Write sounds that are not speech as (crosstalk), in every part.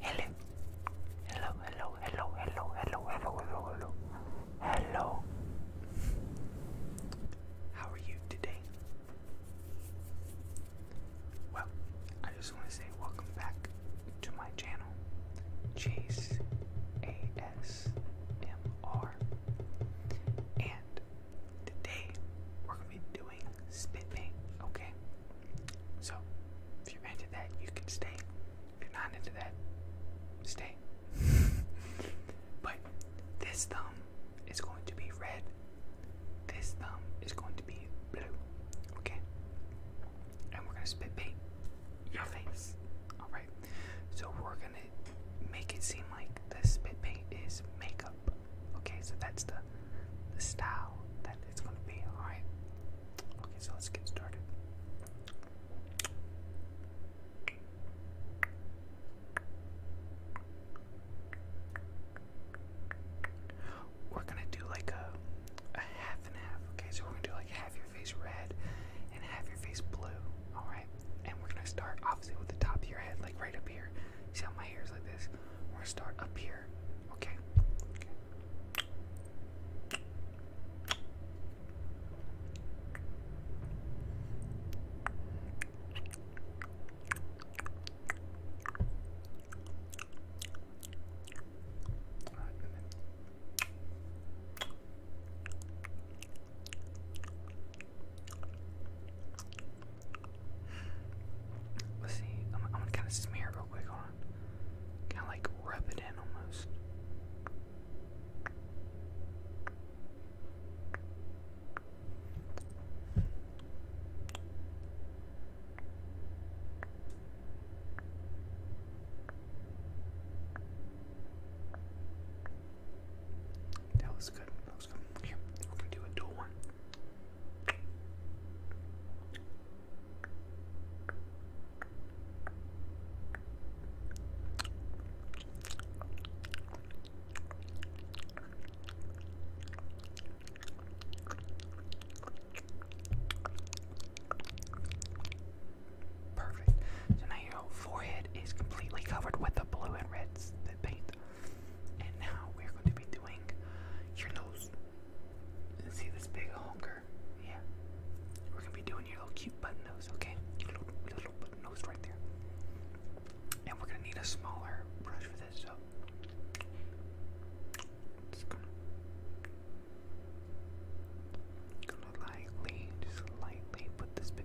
Hello. Hello, hello, hello, hello, hello, hello, hello, How are you today? Well, I just want to say welcome back to my channel, Chase ASMR. And today we're going to be doing spit paint, okay? So, if you're into that, you can stay. If you're not into that, stay. (laughs) but this thumb is going to be red. This thumb is going to be blue. Okay? And we're going to spit paint your face. Alright? So, we're going to make it seem like the spit paint is makeup. Okay, so that's the the style that it's gonna be. All right. Okay, so let's get started. We're gonna do like a, a half and half. Okay, so we're gonna do like half your face red and half your face blue. All right, and we're gonna start obviously with the top of your head, like right up here. See how my hair is like this? We're gonna start up here. Okay. Let's see. I'm, gonna kind of smear it real quick. Hold on. Kind of like rub it in almost. That was good was going gonna do a dual one. Perfect. So now your forehead is completely covered with the blue and reds paint. And now we're going to be doing your nose. see this big honker? Yeah. We're going to be doing your little cute button nose, okay? little, button nose right there. And we're going to need a smaller brush for this, so. Just gonna, lightly, just lightly put this bit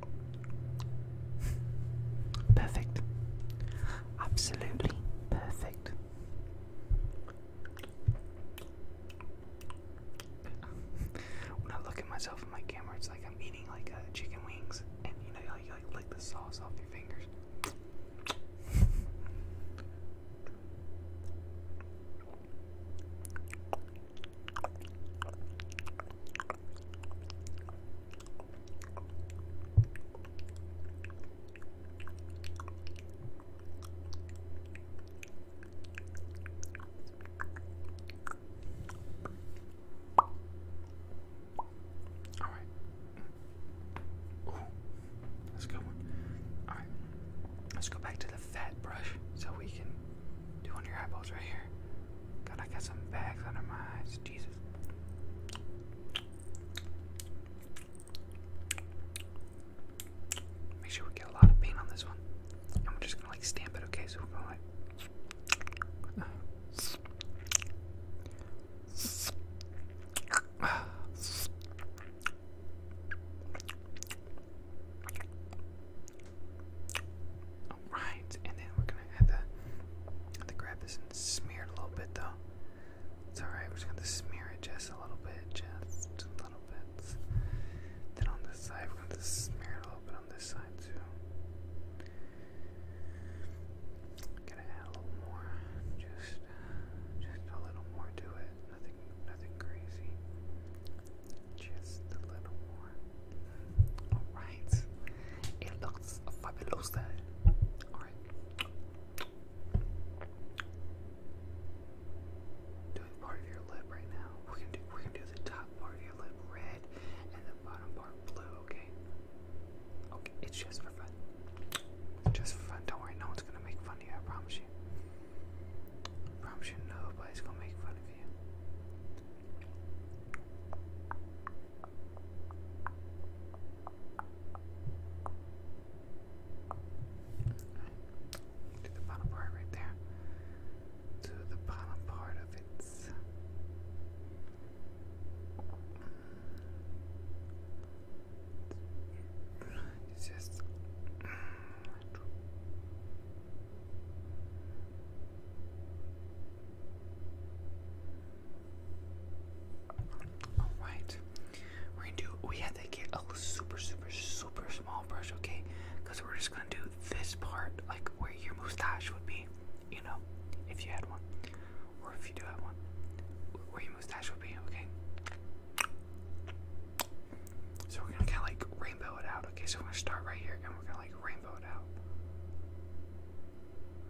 Perfect. Absolutely perfect. (laughs) when I look at myself in my camera, it's like I'm eating like uh, chicken wings, and you know, you like lick the sauce off your fingers. All right. Ooh, that's good one. All right. Let's go back to the fat brush so we can do one of your eyeballs right here. God, I got some bags under my eyes. Jesus. Make sure we get a lot of paint on this one. And we're just gonna like stamp it, okay? So we're going all right, and then we're gonna have to, have to grab this and smear it a little bit, though. It's all right. We're just gonna smear it just a little bit, just a little bit. Then on this side, we're gonna smear it a little bit on this side too. Gotta add a little more, just, just a little more to it. Nothing, nothing crazy. Just a little more. Alright. It looks fabulous. Alright. Doing part of your lip right now. We're gonna do we're gonna do the top part of your lip red and the bottom part blue, okay? Okay, it's just for fun. Just for fun. Don't worry, no one's gonna make fun of you, I promise you. promise you nobody's gonna make fun of Right. To the bottom part right there. To the bottom part of its it's just all right, we're gonna do. We have to get a super, super, super small brush, okay? Because we're just gonna do this part, like where your mustache would be, you know, if you had one, or if you do have one, where your mustache would be, okay? So we're gonna kind of like rainbow it out. Okay, so we're gonna start right here and we're gonna like rainbow it out.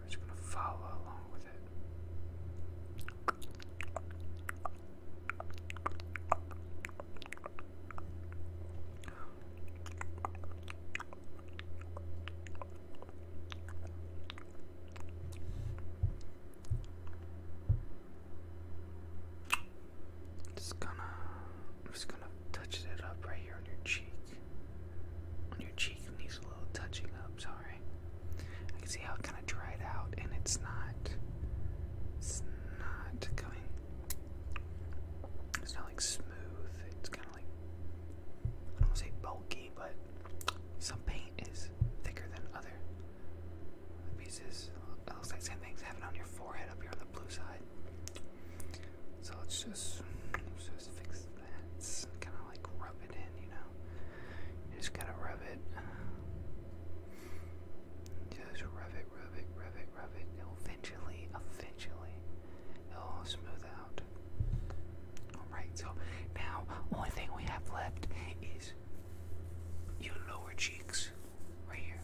We're just gonna follow along with it. Just gonna, i just gonna touch it up right here on your cheek. On your cheek needs a little touching up. Sorry, I can see how it kind of dried out, and it's not, it's not coming. It's not like smooth. It's kind of like I don't say bulky, but some paint is thicker than other pieces. It looks like same thing's happening on your forehead up here on the blue side. So let's just, let's just fix that. It's kind of like rub it in, you know. You just gotta rub it. Just rub it, rub it, rub it, rub it. It'll eventually, eventually, it'll smooth out. Alright, so now only thing we have left is your lower cheeks, right here.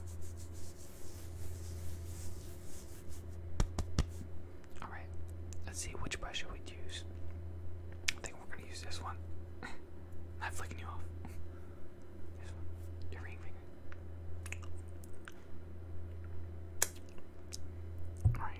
Alright, let's see which brush should we use. I think we're gonna use this one. (laughs) Not flicking you off. This one, your ring finger. Alright.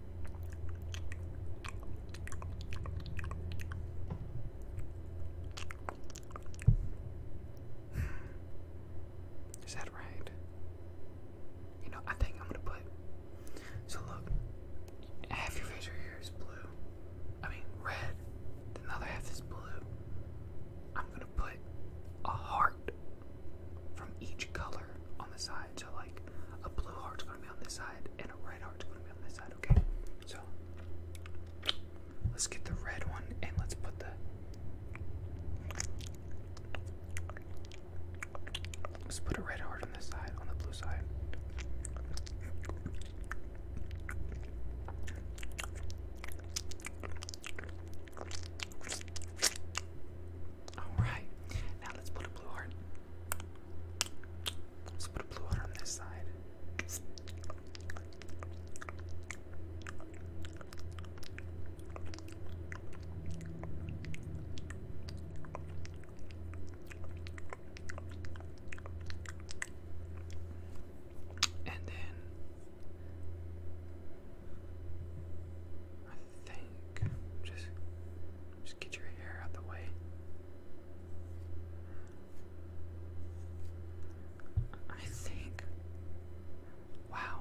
Is that right? You know, I think I'm gonna put. So look, half your face right here is blue. I mean, red. the other half is blue. I'm gonna put a heart from each color on the side. So like a blue heart's gonna be on this side and a red heart's gonna be on this side, okay? So let's get the red one and let's put the Let's put a red heart on this side, on the blue side. Alright, now let's put a blue heart. Let's put a blue heart on this side. And then I think just just get your hair out the way. I think Wow.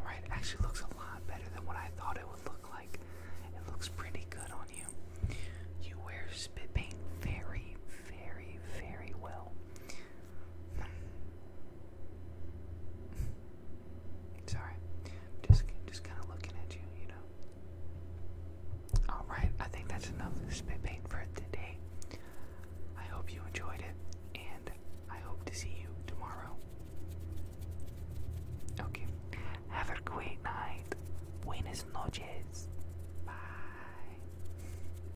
Alright, actually looks a lot better than what I thought it would look like. It looks pretty good on you. You wear spit paint very, very, very well. Sorry, just just kind of looking at you, you know. All right, I think that's enough spit paint for today. I hope you enjoyed it, and I hope to see you tomorrow. Okay, have a great night. Buenas noches. Bye.